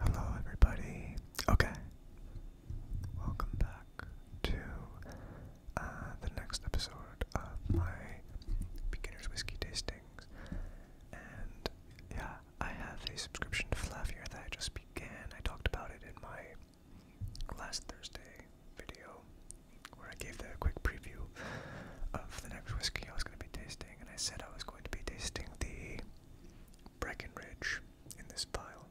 Hello, everybody. Okay. Welcome back to uh, the next episode of my beginner's whiskey tastings. And yeah, I have a subscription to Flavier that I just began. I talked about it in my last Thursday video where I gave the quick preview of the next whiskey I was going to be tasting and I said I was going to be tasting the Breckenridge in this pile.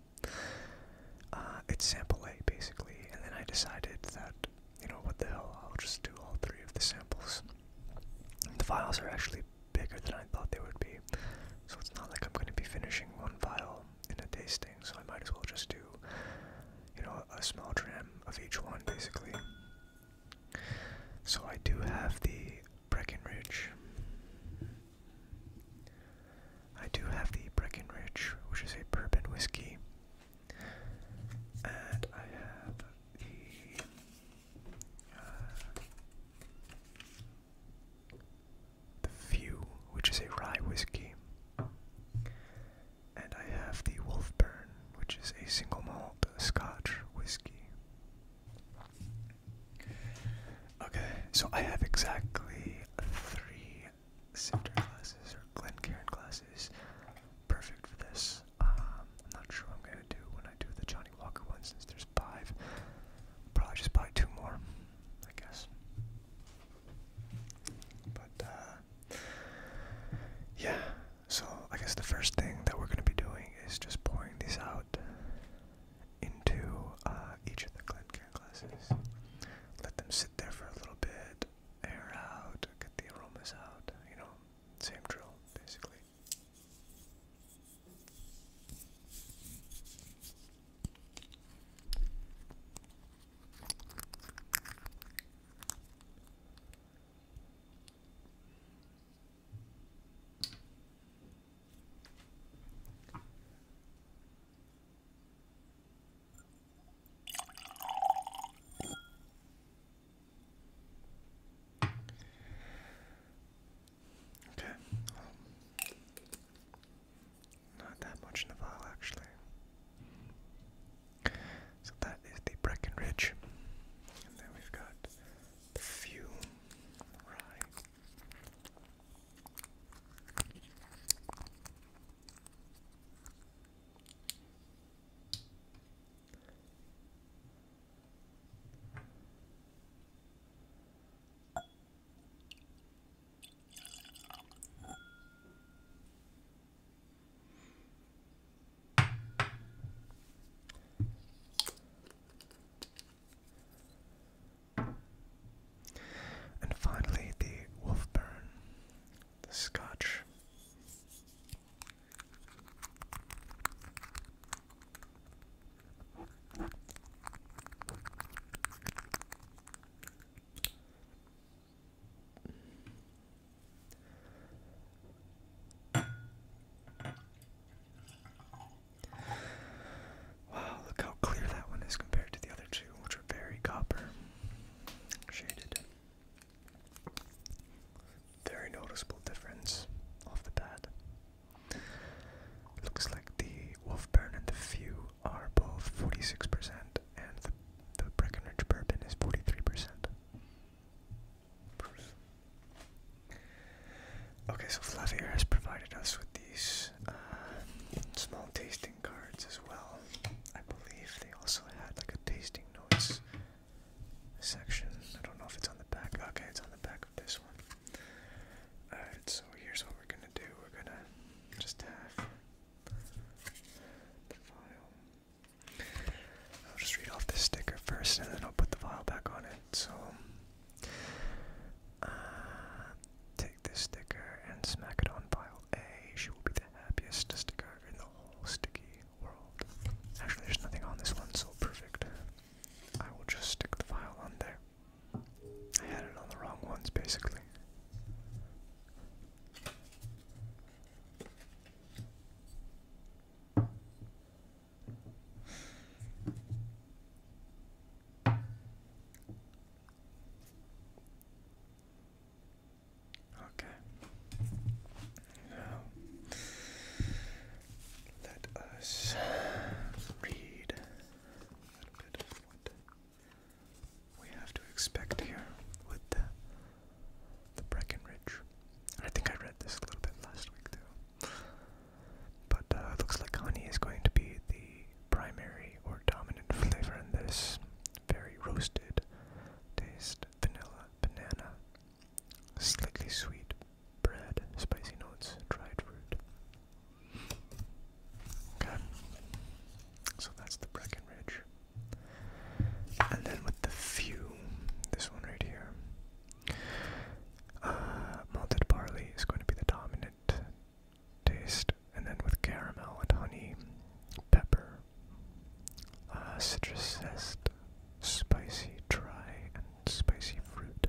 Uh, it's sample A basically, and then I decided that, you know, what the hell, I'll just do all three of the samples. The vials are actually bigger than I thought they would be, so it's not like I'm going to be finishing one vial in a tasting, so I might as well just do, you know, a small dram of each one basically. So I do have the Breckenridge. I do have the Breckenridge, which is a bourbon whiskey. And I have the. Uh, the Few, which is a rye whiskey. And I have the Wolfburn, which is a single malt scotch whiskey. Okay, so I have exactly three Sifter glasses or Glencairn glasses, perfect for this. Um, I'm not sure what I'm going to do when I do the Johnny Walker one since there's five. Probably just buy two more, I guess. But, uh, yeah, so, I guess the first thing that we're going to be doing is just pouring these out into uh, each of the care glasses. Let them sit there for a little bit, air out, get the aromas out, you know, same drill, basically. Okay. Um, not that much in the file, actually. So that is the Breckenridge. And then we've got Fume. right? And finally, the Wolfburn, the Scotch. Wow, look how clear that one is compared to the other two, which are very copper shaded. Very noticeable difference off the bat. Looks like the Wolfburn and the Few are both 46%, and the, Breckenridge Bourbon is 43%. Okay, so Flavier has provided us with these uh, small tasting cards as well. I believe they also had like a tasting notes section. I don't know if it's on the back. Okay, it's on the back of this one. Alright, so here's what we're gonna do. We're gonna just have the file. I'll just read off this sticker first and then I'll put the file back on it so uh, take this sticker and smack it on pile A. She will be the happiest sticker in the whole sticky world. Actually, there's nothing on this one, so perfect. I will just stick the file on there. I had it on the wrong ones, basically. Okay. Now let us read what we have to expect here with the Breckenridge I think I read this a little bit last week too. But uh, it looks like honey is going to be the primary or dominant flavor in this very roasted taste. Vanilla, banana, slightly sweet bread, spicy notes, dried fruit. Okay. So that's the Breckenridge. And then with the few, this one right here. Uh, malted barley is going to be the dominant taste, and then with caramel and honey, pepper, uh, citrus zest, spicy, dry, and spicy fruit.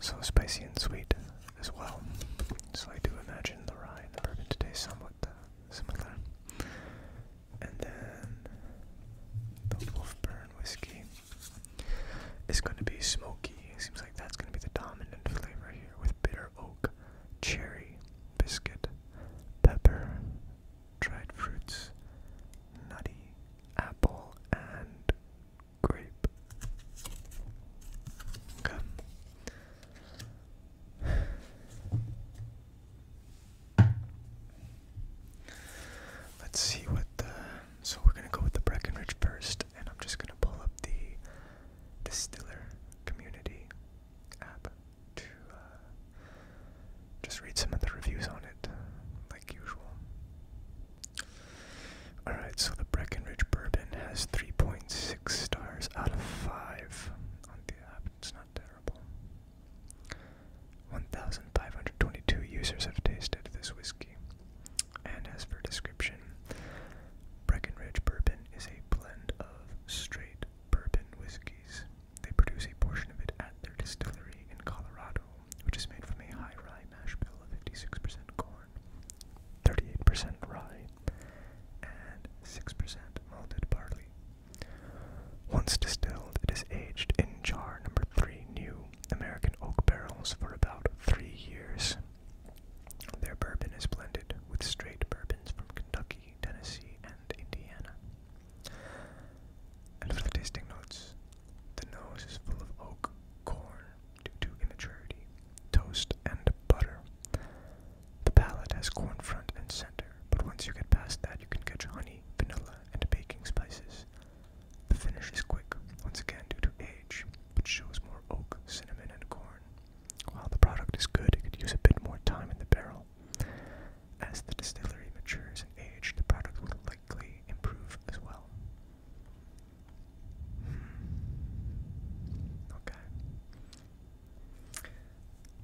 So spicy and sweet as well. So I do imagine the rye the bourbon today somewhat uh, similar and then the Wolfburn whiskey is going to be smoky. It seems like that's going to be the dominant flavor here with bitter oak, cherry, biscuit, pepper, dried fruits, nutty, apple, and grape. Okay. Let's see what the. So we're gonna go with the Breckenridge first, and I'm just gonna pull up the Distiller Community app to uh, just read some of the reviews on it, like usual. Alright, so the Breckenridge Bourbon has 3.6 stars out of 5 on the app. It's not terrible. 1,522 users have tasted this whiskey. And as for description, Breckenridge Bourbon is a blend of straight bourbon whiskeys. They produce a portion of it at their distillery in Colorado, which is made from a high rye mash bill of 56% corn, 38% rye, and 6% malted barley. Once distilled, it is aged in jar number three new American oak barrels for about three years. Their bourbon is blended with straight bourbons from Kentucky, Tennessee, and Indiana. And for the tasting notes, the nose is full of oak, corn due to immaturity, toast, and butter. The palate has corn front and center, but once you get past that, you can catch honey, vanilla, and baking spices. The finish is quick, once again due to age, but shows more oak, cinnamon, and corn. While the product is good, it could use a bit more time in the barrel. As the distillery matures in age, the product will likely improve as well. Hmm. Okay.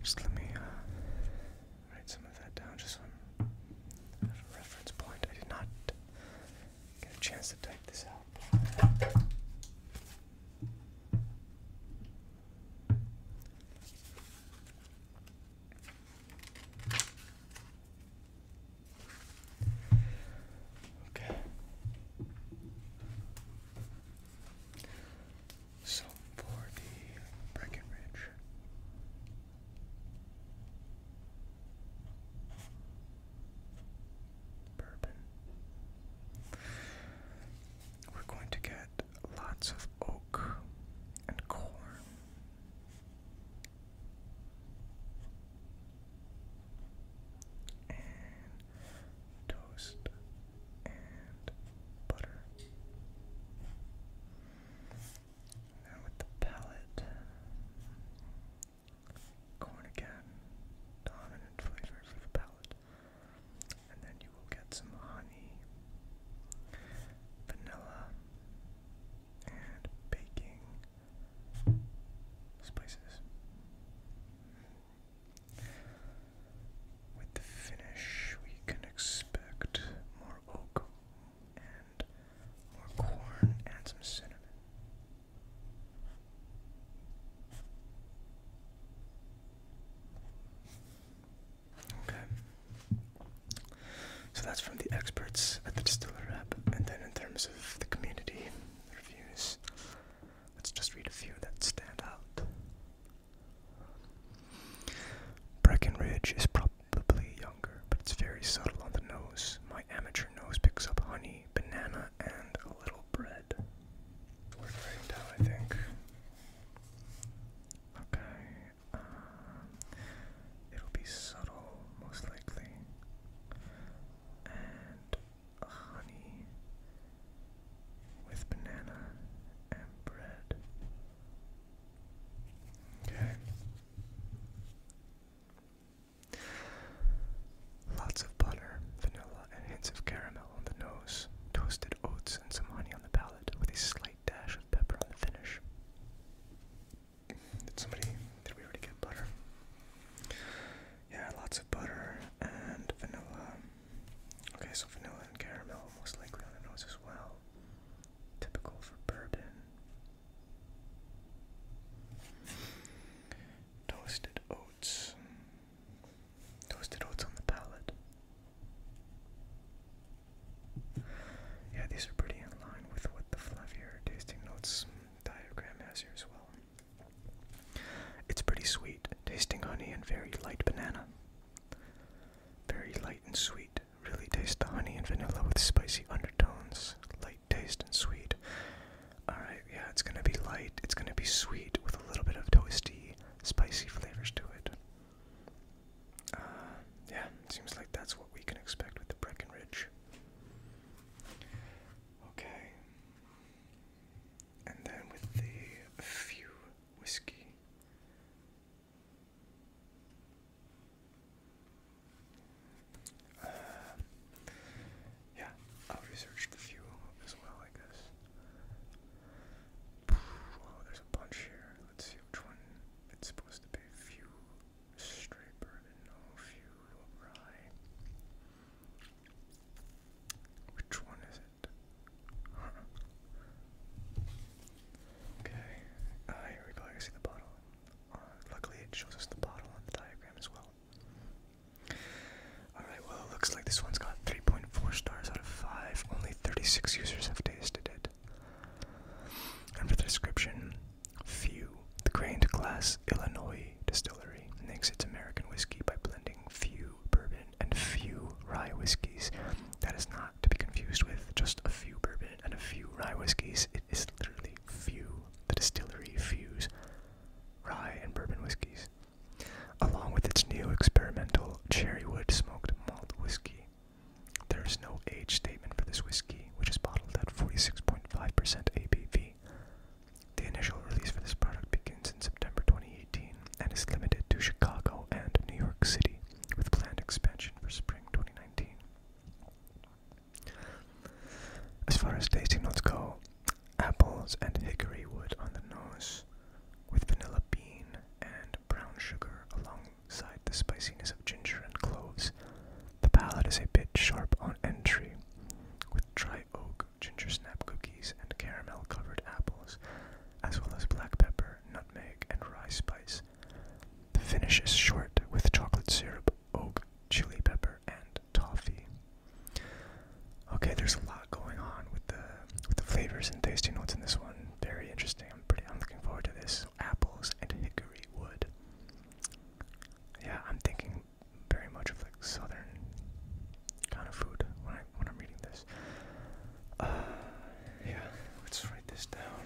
Just let me uh, write some of that down just so i reference point. I did not get a chance to type this out. Okay. So for the Breckenridge Bourbon. We're going to get lots of oak and corn. And toast and butter. And with the palette, corn again, dominant flavor for the palate. And then you will get some honey, vanilla, and baking spices. With the finish, we can expect more oak, and more corn and some cinnamon. Okay. So that's from the experts at the Distiller app. And then in terms of the community reviews, let's just read a few that stand out. Breckenridge is probably probably younger, but it's very subtle on the nose. My amateur nose picks up honey, banana, and a little bread. We're right now, I think. Okay, um, it'll be subtle, most likely. And honey with banana and bread. Okay. Lots of butter, vanilla, and hints of caramel on the nose, toasted oats, and some honey on the palate, with a slight dash of pepper on the finish. Did somebody. Did we already get butter? Yeah, lots of butter and vanilla. Okay, so vanilla and caramel most likely on the nose as well. Typical for bourbon. Toasted oats. Toasted oats on the palate. Yeah, these are pretty in line with what the fluffier tasting notes diagram has here as well. It's pretty sweet, tasting honey and very light banana. Very light and sweet. Really taste the honey and vanilla with spicy undertones. Light taste and sweet. Alright, yeah, it's gonna be light. It's gonna be sweet with a little bit of toasty, spicy flavors to it. Uh, yeah, it seems like that's what we can expect with the Breckenridge. Okay. And then with the few whiskey, uh, yeah, I'll research the fuel as well, I guess. Well, there's a bunch here. Let's see which one it's supposed to be. Fuel, straight bourbon, no fuel, rye. Which one is it? Okay. Uh, here we go. I see the bottle luckily, it shows us the bottle on the diagram as well. Alright, well, it looks like this one's got 3.4 stars out of 5. Only 36 users have tasted it. And for the description, few. The Grained Glass Illinois Distillery makes its American whiskey by blending few bourbon and few rye whiskeys. That is not to be confused with just a few bourbon and a few rye whiskeys it is literally few. The distillery fuse rye and bourbon whiskeys, along with its new experimental cherrywood smoked malt whiskey. There is no age statement for this whiskey, which is bottled at 46.5% ABV. The initial release for this product begins in September 2018 and is limited to Chicago and New York City, with planned expansion for spring 2019. As far as tasting notes go, apples and hickory wood on the nose, with vanilla bean and brown sugar alongside the spiciness of ginger and cloves. The palate is a bit sharp on entry, with dry oak, ginger snap cookies, and caramel covered apples, as well as black pepper, nutmeg, and rye spice. The finish is short with chocolate syrup, oak, chili pepper, and toffee. Okay, there's a lot going on with the with the flavors and tasting notes in this one. Very interesting. I'm pretty. I'm looking forward to this. Apples and hickory wood. Yeah, I'm thinking very much of like southern kind of food when I when I'm reading this. Uh, yeah, let's write this down.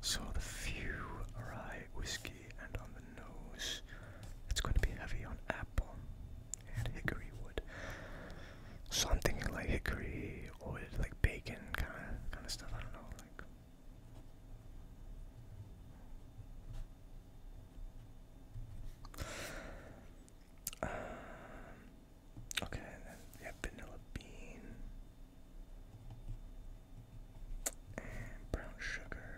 So the few rye whiskey and on the nose, it's going to be heavy on apple and hickory wood. So I'm thinking like hickory or like bacon kind of kind of stuff. I don't know like. Okay, and then we have vanilla bean and brown sugar,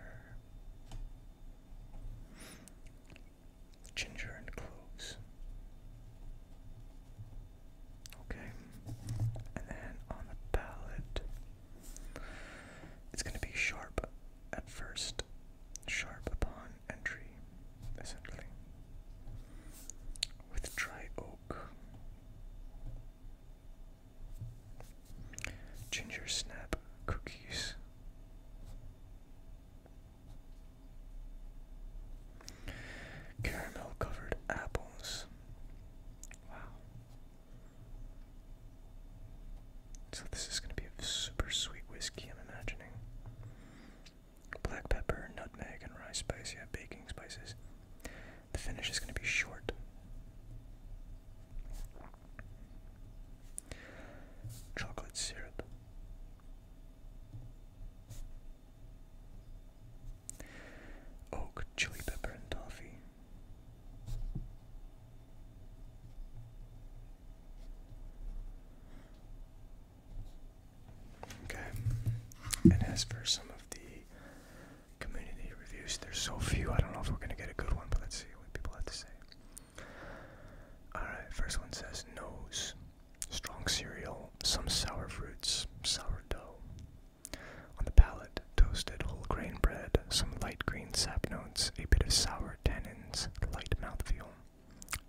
ginger and cloves. Okay, and then on the palette, it's going to be sharp at first, sharp upon entry, essentially, with dry oak. Ginger snap cookies. Caramel covered apples. Wow. So, this is going to be a super sweet whiskey, I'm imagining black pepper, nutmeg, and rice spice. Yeah, baking spices. The finish is going to be short. Chocolate syrup. Oak, chili pepper, and toffee. Okay. And as for some of the community reviews, there's so few. I don't know if we're going to get a good one, but let's see what people have to say. Alright, first one says nose, strong cereal, some sour fruits, sour dough. On the palate, toasted whole grain bread, some light green sap notes, a bit of sour tannins, light mouthfeel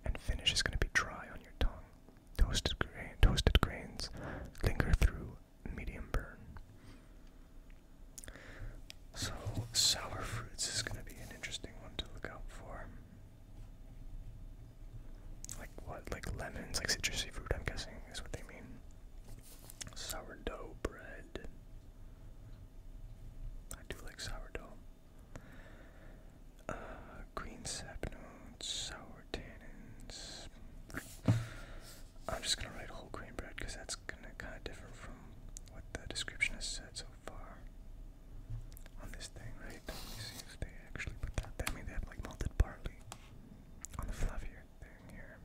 and finish is going to be dry on your tongue. Toasted, grains linger through medium burn. So, sour fruits is going to be an interesting one to look out for. Like what? Like lemons, like citrusy fruit, I'm guessing is what they mean. Sourdough bread. I do like sourdough. Uh, green sap sour tannins. I'm just gonna write whole grain bread because that's gonna kind of different from what the description has said so far on this thing, right? see if they actually put that. That I they have like malted barley on the fluffier thing here.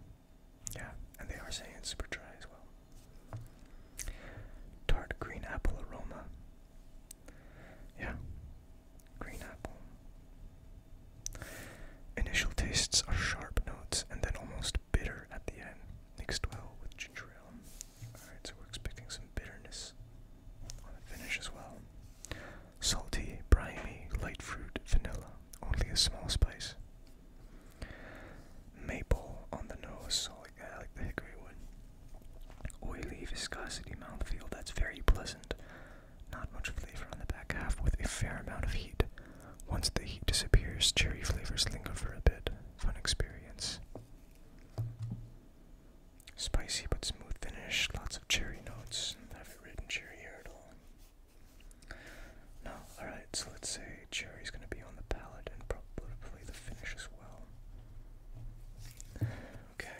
Yeah, and they are saying it's super dry as well. Tart green apple aroma. Yeah. Green apple. Initial tastes are sharp notes and then almost bitter at the end. Mixed well with ginger ale. Alright, so we're expecting some bitterness on the finish as well. Salty, briny, light fruit, vanilla. Only a small spice. Maple on the nose, like like the hickory wood. Oily viscosity mouthfeel that's very pleasant. Not much flavor on the back half with a fair amount of heat. Once the heat disappears, cherry flavors linger for a bit. Fun experience. Spicy but smooth finish. Lots of cherry notes. I haven't written cherry here at all. No, alright, so let's say cherry's gonna be on the palate and probably the finish as well. Okay,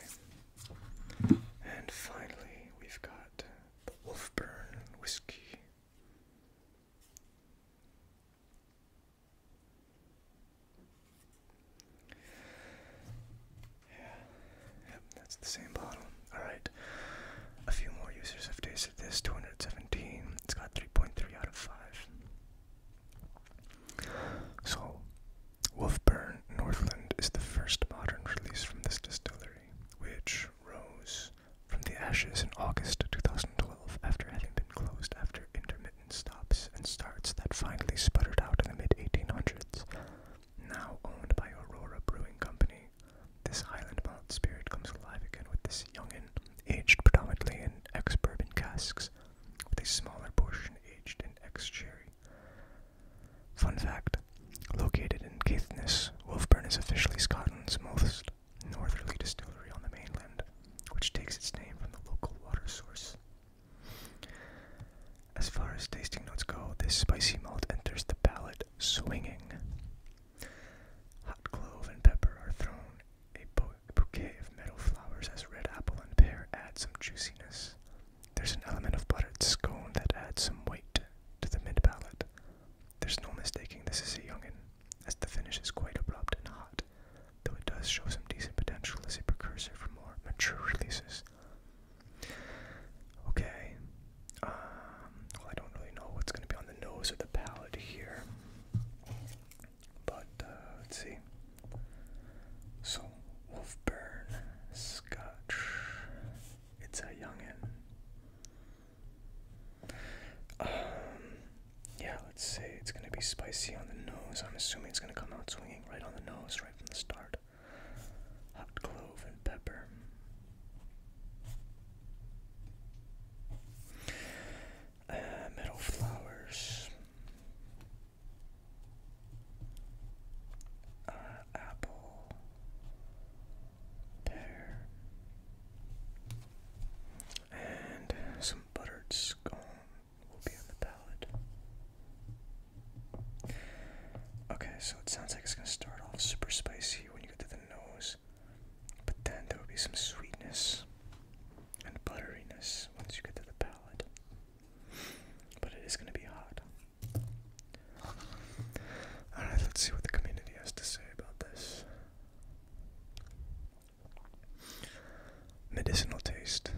and finally, we've got the Wolfburn whiskey. Yeah, yep, that's the same bottle. Alright, a few more users have tasted this 217. It's got 3.3 out of 5. So, Wolfburn Northland is the first modern release from this distillery, which rose from the ashes in August 2012 after having been closed after intermittent stops and starts that finally sputtered out in the mid 1800s. Now owned by Aurora Brewing Company, this Highland malt spirit comes alive again with this young and aged predominantly in ex bourbon casks, with a smaller portion aged in and cherry Fun fact, located in Caithness, Wolfburn is officially Scotland's most northerly distillery on the mainland, which takes its name from the local water source. As far as tasting notes go, this spicy malt enters the palate swinging. Hot clove and pepper are thrown. a bouquet of meadow flowers as red apple and pear add some juiciness. There's an element of buttered scone that adds some weight to the mid palate. There's no mistaking this is a youngin, as the finish is quite abrupt and hot, though it does show some decent potential as a precursor for more mature releases. Okay, um, well, I don't really know what's going to be on the nose or the palate here, but uh, let's see. So, Wolfburn Scotch. It's a youngin. Um, yeah, let's say it's gonna be spicy on the nose. I'm assuming it's gonna come out swinging right on the nose, right from the start. Hot clove and pepper. Uh, flowers uh, apple, pear, and some buttered scone will be on the palate. Okay, so it sounds like it's gonna start off super spicy when you get to the nose, but then there will be some sweetness and butteriness once you get to the palate. But it is going to be hot. Alright, let's see what the community has to say about this. Medicinal taste.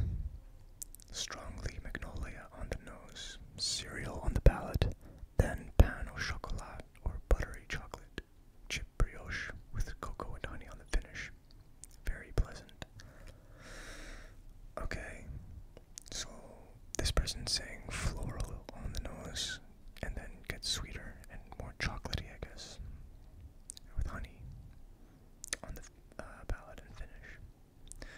Strongly magnolia on the nose, cereal on the palate, then pan au chocolat or buttery chocolate, chip brioche with cocoa and honey on the finish. Very pleasant. Okay, so this person's saying floral on the nose and then gets sweeter and more chocolatey, I guess, with honey on the palate uh, and finish.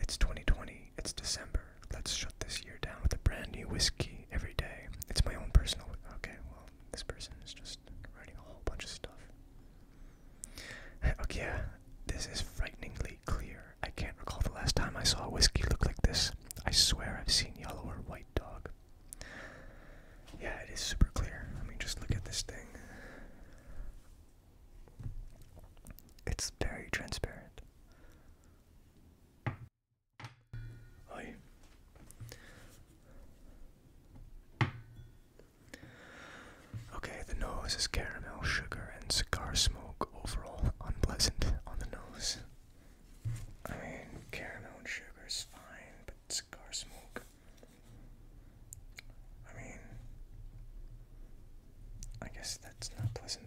It's 2020, it's December. Let's shut this year down with a brand new whiskey every day. It's my own personal. Okay, well, this person is just writing a whole bunch of stuff. Okay, this is frighteningly clear. I can't recall the last time I saw a whiskey look like this. I swear I've seen yellow or white dog. Yeah, it is super clear. I mean, just look at this thing. It's very transparent. Oi. Okay, the nose is caramel, sugar, and cigar smoke. Overall, unpleasant on the nose. I mean, caramel and sugar is fine, but cigar smoke. I mean, I guess that's not pleasant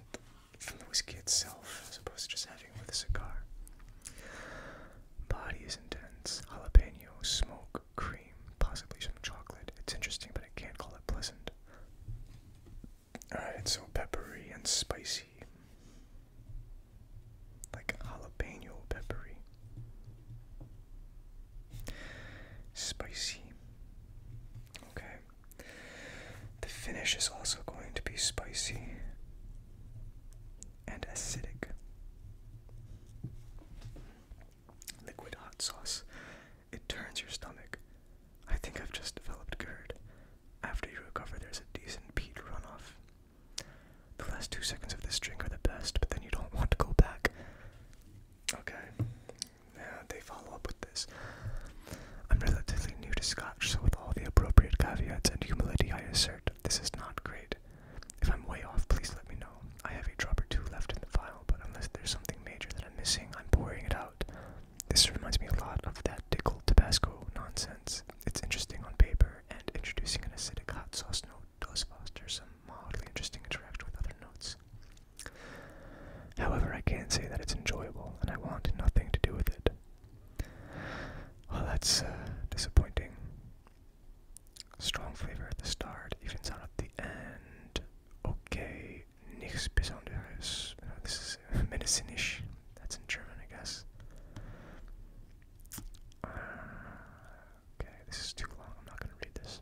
from the whiskey itself, as opposed to just having it with a cigar. Body is intense. Jalapeno smoke cream, possibly some chocolate. It's interesting, but I can't call it pleasant. Alright, so peppery and spicy. Like jalapeno peppery. Spicy. Okay. The finish is also going to be spicy and acidic. Liquid hot sauce. It turns your stomach. I think I've just developed GERD. After you recover, there's a decent peat runoff. The last two seconds of this drink are the best, but then you don't want to go back. Okay. Yeah, they follow up with this. I'm relatively new to Scotch, so with all the appropriate caveats and humility, I assert this is not great. If I'm way off, please let me know. I have a drop or two left in the file, but unless there's something major that I'm missing, I'm pouring it out. This reminds me a lot of that Tickle Tabasco nonsense. It's interesting on paper, and introducing an acidic hot sauce note does foster some mildly interesting interaction with other notes. However, I can not say that it's enjoyable, and I want nothing to do with it. Well, that's uh, disappointing. Strong flavor at the start, even sound at the end. Okay, nichts Besonderes. this is medicinish. That's in German, I guess. Uh, okay, this is too long. I'm not going to read this.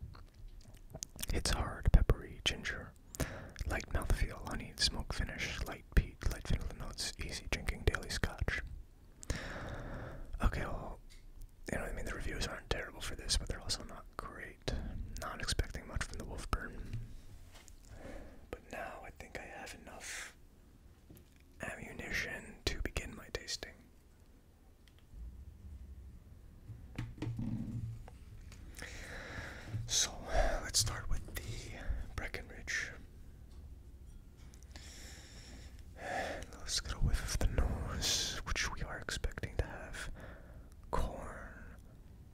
It's hard, peppery, ginger. Light mouthfeel, honey, smoke finish, light peat, light vanilla notes, easy drinking daily scotch. Okay, you know I mean, the reviews aren't terrible for this, but they're also not great. Not expecting much from the Wolfburn. But now I think I have enough ammunition to begin my tasting. So let's start with the Breckenridge. Let's get a whiff of the nose, which we are expecting to have corn,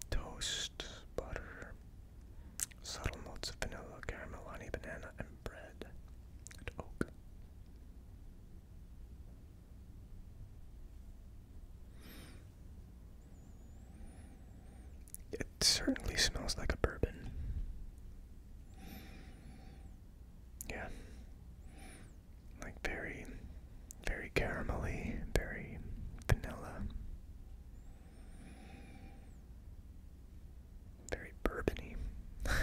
toast, butter, subtle notes of vanilla, caramel, honey, banana, and bread, and oak. It certainly smells like a bourbon. Yeah like very, very caramelly, very vanilla, very bourbony. yeah,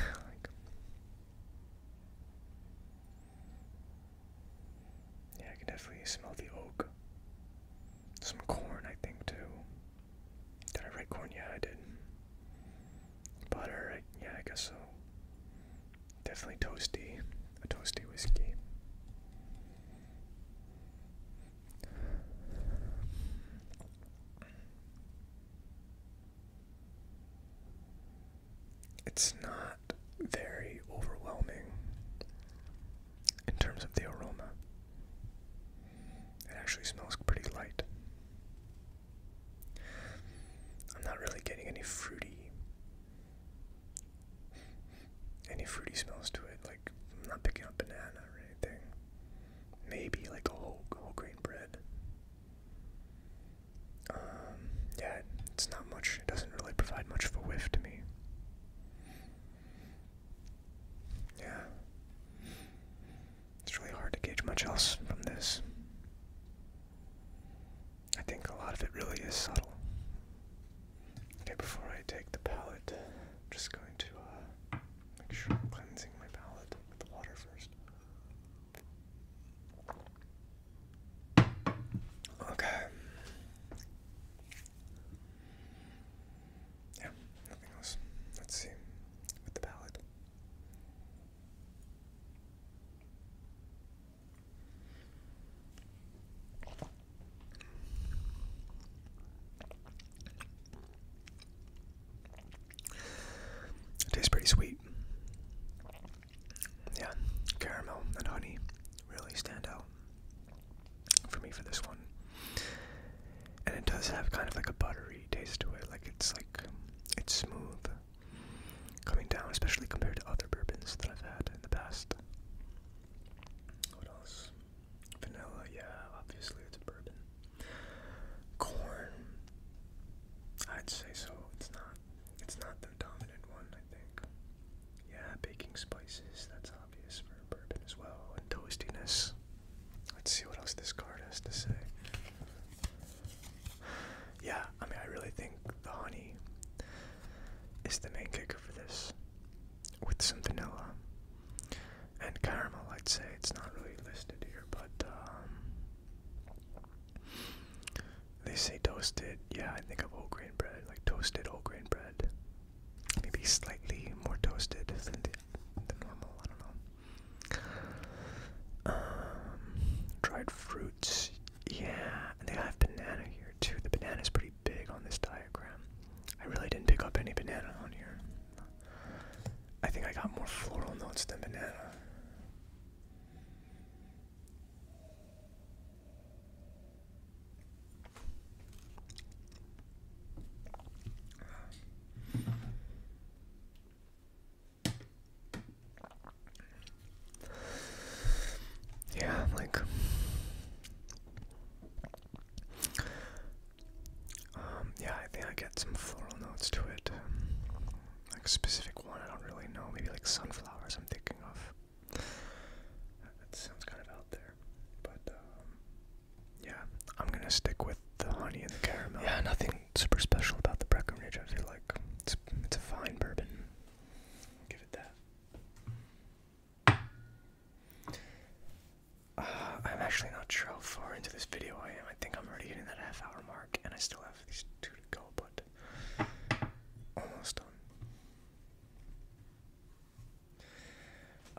I can definitely smell the oak. Some corn, I think, too. Did I write corn? Yeah, I did. Butter, yeah, I guess so. Definitely toasty, a toasty whiskey. It's not very overwhelming in terms of the aroma. It actually smells pretty light. I'm not really getting any fruity any fruity smells to it. Like I'm not picking up banana or anything. Maybe like a whole whole grain bread. Um, yeah, it's not much. It doesn't really provide much of a whiff to me. Yeah. It's really hard to gauge much else from this. I think a lot of it really is subtle. Okay, before I take the palette, I'm just going to uh, make sure I'm cleansing my palette with the water first. Okay. Yeah, nothing else. Let's see with the palette tastes pretty sweet. Yeah, caramel and honey really stand out for me for this one. And it does have kind of like a buttery taste to it. Like it's like it's smooth coming down, especially compared to other bourbons that I've had in the past. What else? Vanilla, yeah, obviously it's a bourbon. Corn, I'd say so. It's not. It's not the dominant one, I think. Yeah, baking spices. That's obvious for bourbon as well, and toastiness. Let's see what else this card has to say. Yeah, I mean, I really think the honey is the main kicker for this. With some vanilla and caramel, I'd say. It's not really listed here, but um, they say toasted. Yeah, I think of whole grain bread, like toasted whole grain bread. Maybe slightly more toasted than the, normal, I don't know. Um, dried fruits, yeah, and they have banana here too. The banana is pretty big on this diagram. I really didn't pick up any banana on here. I think I got more floral notes than banana. Yeah, like um, yeah, I think I get some floral notes to it. like specific one, I don't really know. Maybe like sunflowers. I'm thinking of. That sounds kind of out there, but um, yeah, I'm gonna stick with the honey and the caramel. Yeah, nothing super special about the Breckenridge. I feel like it's it's a fine bourbon. Give it that. Uh, I'm actually not sure how far into this video I am. I think I'm already hitting that half hour mark, and I still have these two to go, but almost done.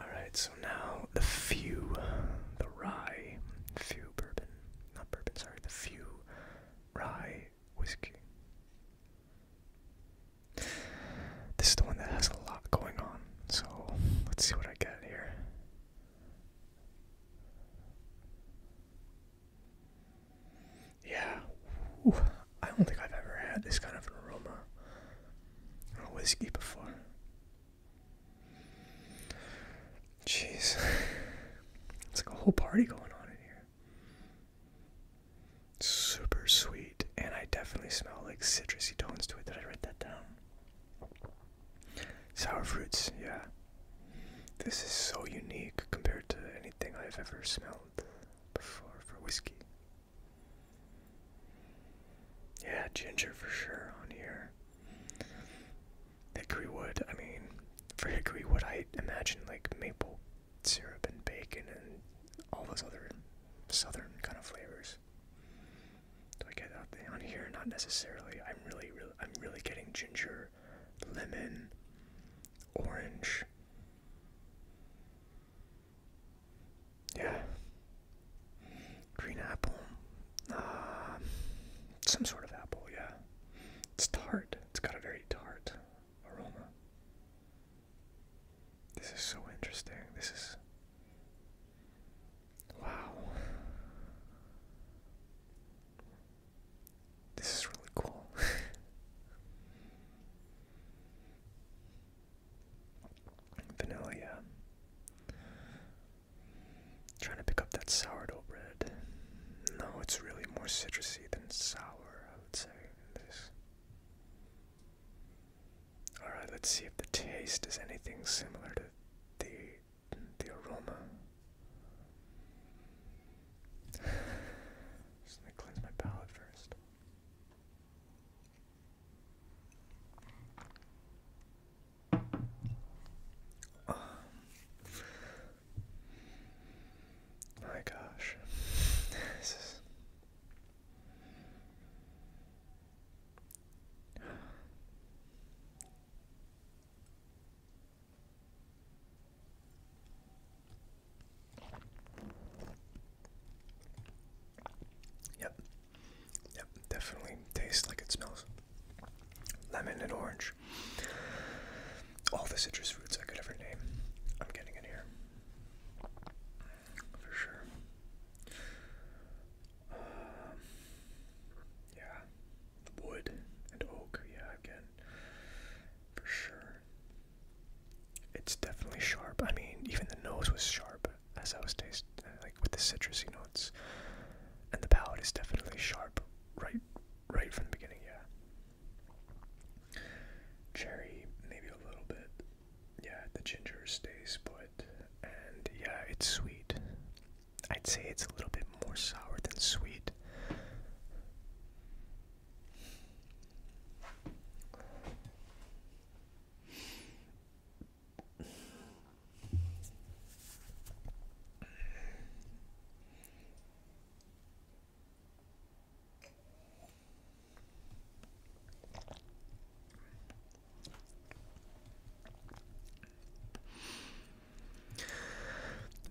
Alright, so now the few, the rye, few bourbon, not bourbon, sorry, the few rye whiskey. This is the one that has a lot going on, so let's see what I get here. Yeah, Ooh, I don't think I've ever had this kind of aroma on a whiskey before. Jeez, it's like a whole party going on in here. Super sweet, and I definitely smell like citrusy tones to it. Did I write that down? Sour fruits, yeah. This is so unique compared to anything I've ever smelled before for whiskey. Yeah, ginger for sure on here. Hickory wood, I mean, for hickory wood, I imagine like maple syrup and bacon and all those other southern kind of flavors. Do I get out there on here? Not necessarily. I'm really, really, I'm really getting ginger, lemon, orange. Yeah, green apple, uh, some sort of apple. Yeah, it's tart. It's got a very tart aroma. This is so interesting. This is. Wow. This is really cool. Vanilla, trying to pick up that sourdough bread. No, it's really more citrusy than sour, I would say, Alright, let's see if the taste is anything similar to the the aroma. Just gonna cleanse my palate first. Um, my gosh. This is. Yep. Yep, definitely tastes like it smells. Lemon and orange. All the citrus fruits I could ever name. I'm getting in here. For sure. Um, yeah. Wood and oak, yeah, again. For sure. It's definitely sharp. I mean, even the nose was sharp as I was tasting, uh, like with the citrusy notes. And the palate is definitely sharp right right from the beginning, yeah. Cherry, maybe a little bit. Yeah, the ginger stays put. And yeah, it's sweet. I'd say it's a little bit more sour than sweet.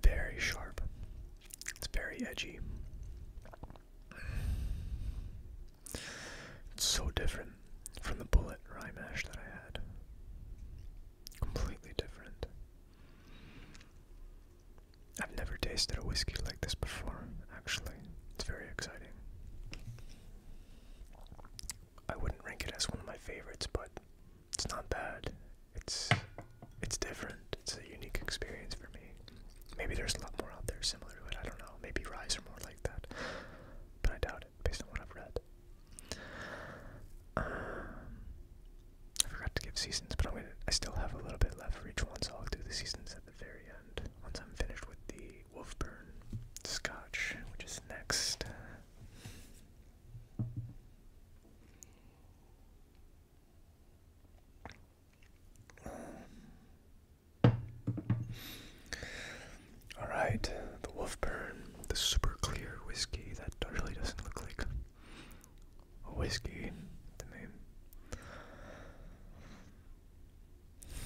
Very sharp. It's very edgy. It's so different from the bullet rime mash that I had. Completely different. I've never tasted a whiskey like this before, actually. It's very exciting. I wouldn't rank it as one of my favorites, but it's not bad. It's it's different. It's a unique experience for me. Maybe there's a lot more out there similar to it. I don't know. Maybe Rise are more like that. But I doubt it based on what I've read. Um, I forgot to give seasons, but I'm gonna. I still have a little bit left for each one, so I'll do the seasons at the very end once I'm finished with the Wolfburn Scotch, which is next. All right, the Wolfburn, the super clear whiskey that really doesn't look like whiskey the name.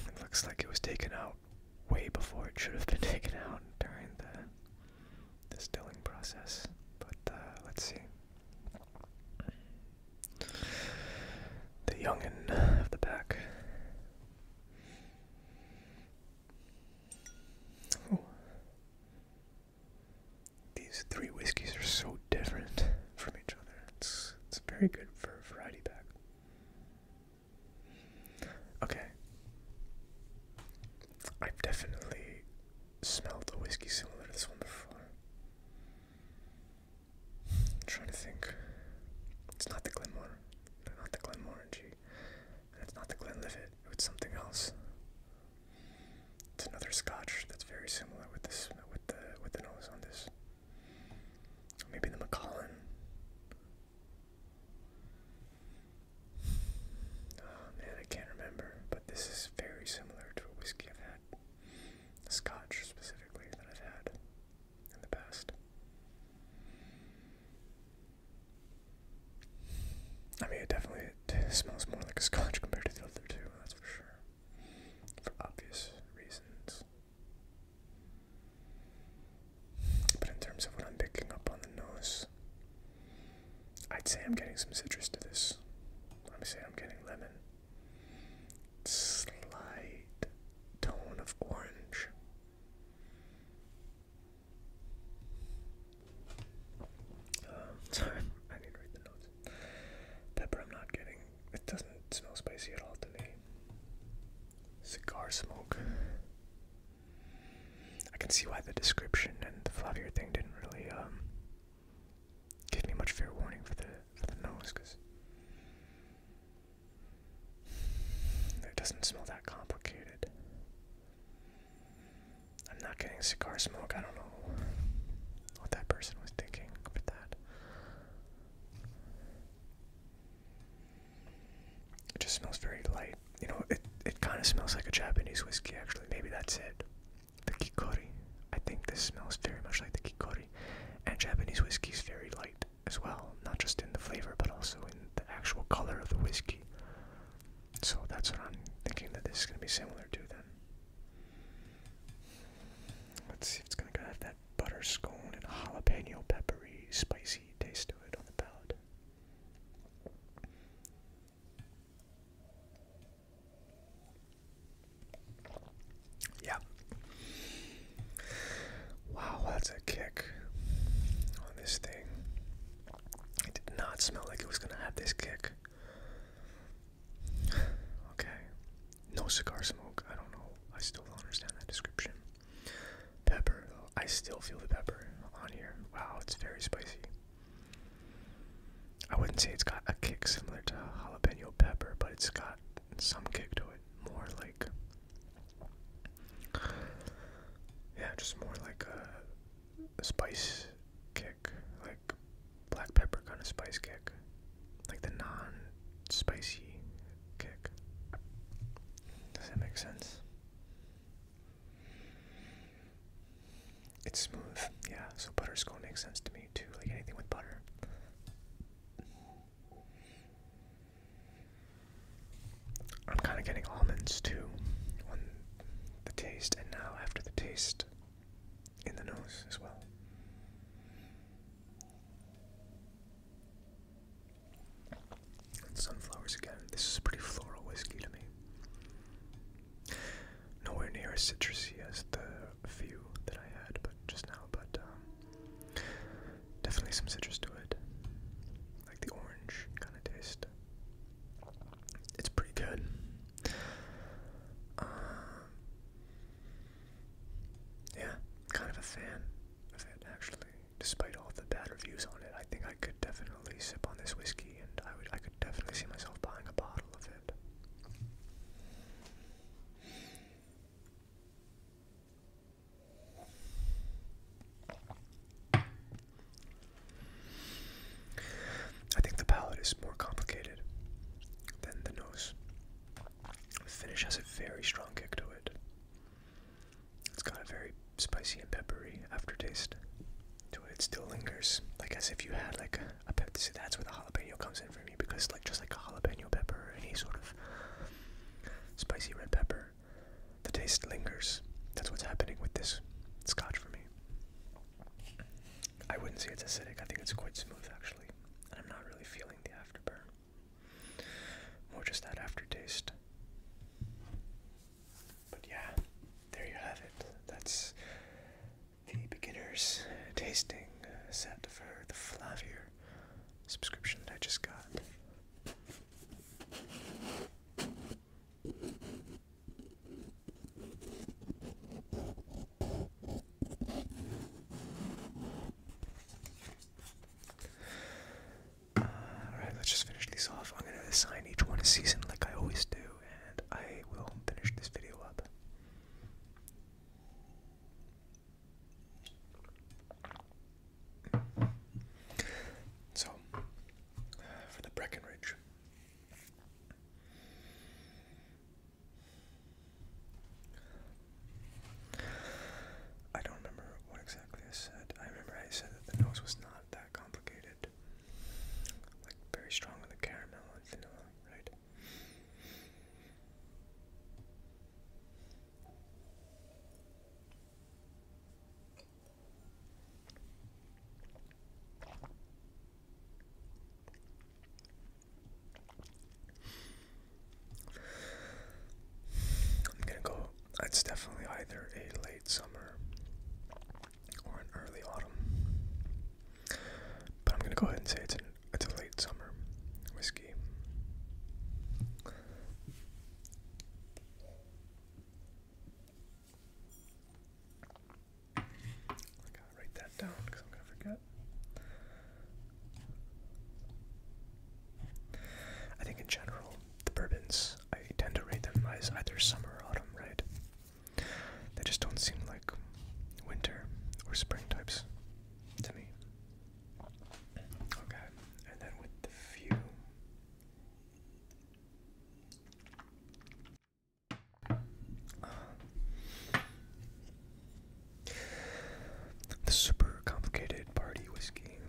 It looks like it was taken out way before it should have been taken out during the distilling process. But uh, let's see. The youngin of the pack. Ooh. These three whiskeys are so different from each other. It's it's very good for a variety pack. Okay. I've definitely smelled a whiskey similar to this one before. trying to think. It's not the Glenmore. Not the Glenmorangie. And it's not the Glenlivet. It's something else. It's another Scotch that's very similar with this with the with the nose on this. Maybe the Macallan. Oh man, I can't remember, but this is very similar to a whiskey I've had, a Scotch specifically that I've had in the past. I mean, it definitely it smells more like a scotch compared to the other two, that's for sure. For obvious reasons. But in terms of what I'm picking up on the nose, I'd say I'm getting some citrus to this. I'd say I'm getting lemon. Slight tone of orange. Um, sorry, I didn't read the notes. Pepper, I'm not getting. It doesn't smell spicy at all to me. Cigar smoke. I can see why the description and the fluffier thing didn't really um, give me much fair warning for the for the nose, because it doesn't smell that complicated. I'm not getting cigar smoke. I don't know what that person was thinking with that. It just smells very light. You know, it it kind of smells like a Japanese whiskey. Actually, maybe that's it. The kikori. I think this smells very much like the kikori, and Japanese whiskey is very light as well, not just in the flavor but also in the actual color of the whiskey. So that's what I'm thinking that this is going to be similar to then. Let's see if it's gonna have that butter scone and jalapeno peppery spicy taste to it on the palate. Yeah. Wow, that's a kick on this thing. It did not smell like it was gonna have this kick okay. No cigar smoke. I don't know. I still don't understand that description. Pepper, I still feel the pepper on here. Wow, it's very spicy. I wouldn't say it's got a kick similar to jalapeno pepper, but it's got some kick to it. More like. Yeah, just more like a spice kick. Like black pepper kind of spice kick, like the non-spicy kick. Does that make sense? It's smooth, yeah. So butterscotch makes sense to me too, like anything with butter. I'm kind of getting almonds too on the taste, and now after the taste, in the nose as well. sunflowers again. This is pretty floral whiskey to me. Nowhere near as citrusy as the few that I had, but just now. But um, definitely some citrus to it, like the orange kind of taste. It's pretty good. Um, yeah, kind of a fan of it actually. Despite all the bad reviews on it, I think I could definitely sip on this whiskey, and I would I could definitely see myself buying a bottle of it. I think the palate is more complicated than the nose. finish has a very strong kick to it. It's got a very spicy and peppery aftertaste to it. It still lingers, like as if you had like a, pepper. See, that's where the jalapeno comes in for me because like just like a jalapeno pepper or any sort of spicy red pepper, the taste lingers. That's what's happening with this scotch for me. I wouldn't say it's acidic. I think it's quite smooth actually, and I'm not really feeling the afterburn. More just that aftertaste. But yeah, there you have it. That's the beginner's tasting set for the Flavier subscription that I just got. All right, let's just finish these off. I'm gonna assign each one a season like I always do, and I will finish this video up. So, uh, for the Breckenridge, I don't remember what exactly I said. I remember I said that the nose was not that complicated. Like very strong with the caramel and vanilla, right? I'm gonna go. It's definitely either a late summer or an early autumn, but I'm gonna go ahead and say it's it's a late summer whiskey. I gotta write that down because I'm gonna forget. I think in general, the bourbons, I tend to rate them as either summer or autumn, right? They just don't seem like winter or spring types to me. Okay, and then with the few. The super complicated party whiskey.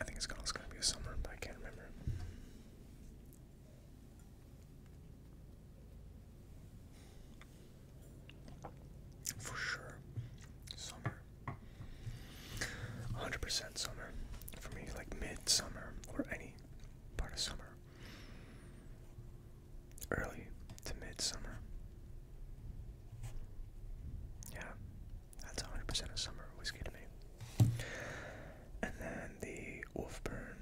I think it's also gonna be a summer, but I can't remember. For sure, summer. 100% summer. For me, like mid or any part of summer, early to mid-summer. Yeah, that's 100% of summer whiskey to me. And then the Wolfburn.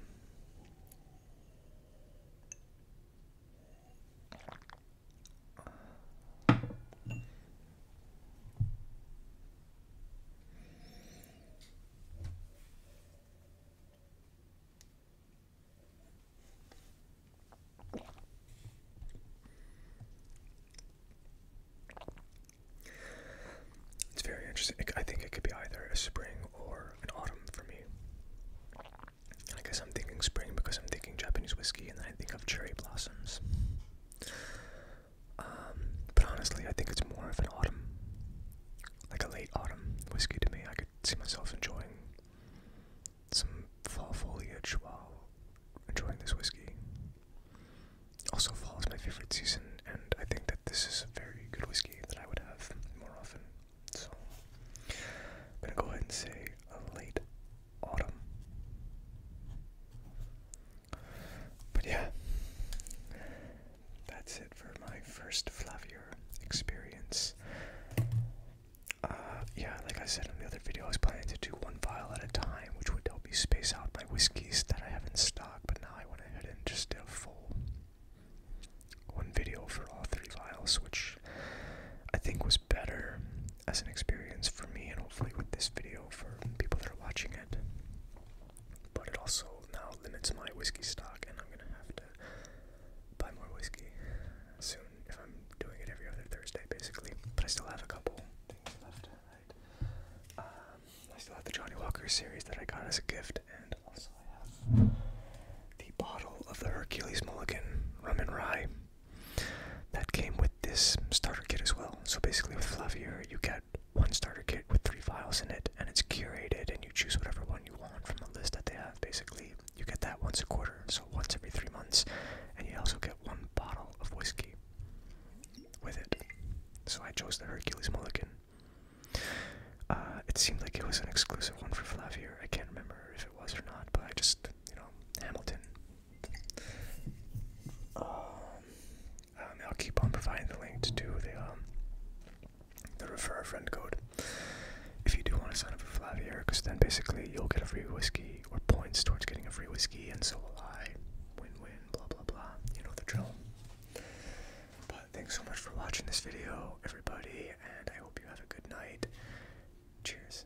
It's very interesting. I think it could be either a spring or an autumn for me. I guess I'm thinking spring because I'm thinking Japanese whiskey and then I think of cherry blossoms. Um, but honestly, I think it's more of an autumn, like a late autumn whiskey to me. I could see myself enjoying some fall foliage while enjoying this whiskey. Also, fall is my favorite season, and I think that this is a very good whiskey that I would have more often. So, I'm gonna go ahead and say a late autumn. But yeah, that's it for my first Flavier experience. Uh, yeah, like I said in the other video, I was planning to do one vial at a time, which would help me space out my whiskeys that I have in stock, but now I went ahead and just did a full one video for all three vials, which I think was better as an experience for me and hopefully with this video for people that are watching it but it also now limits my whiskey stock, and I'm gonna have to buy more whiskey soon if I'm doing it every other Thursday, basically. But I still have a couple things left. Um, I still have the Johnny Walker series that I got as a gift, and also I have the bottle of the Hercules Mulligan rum and rye that came with this starter kit as well. So basically, with Flavier, you get one starter kit with three files in it, and it's curated, and you choose whatever one you want from the list that they have. Basically, you get that once a quarter, so once every three months, and you also get one bottle of whiskey with it. So I chose the Hercules Mulligan. Uh, it seemed like it was an exclusive one for Flavier. I can't remember if it was or not, but I just, you know, Hamilton. Um, um, I'll keep on providing the link to the um, the refer a friend code if you do want to sign up for Flavius because then basically you'll get a free whiskey or points towards getting a free whiskey, and so will I. Win-win, blah blah blah. You know the drill. But thanks so much for watching this video, everybody, and I hope you have a good night. Cheers.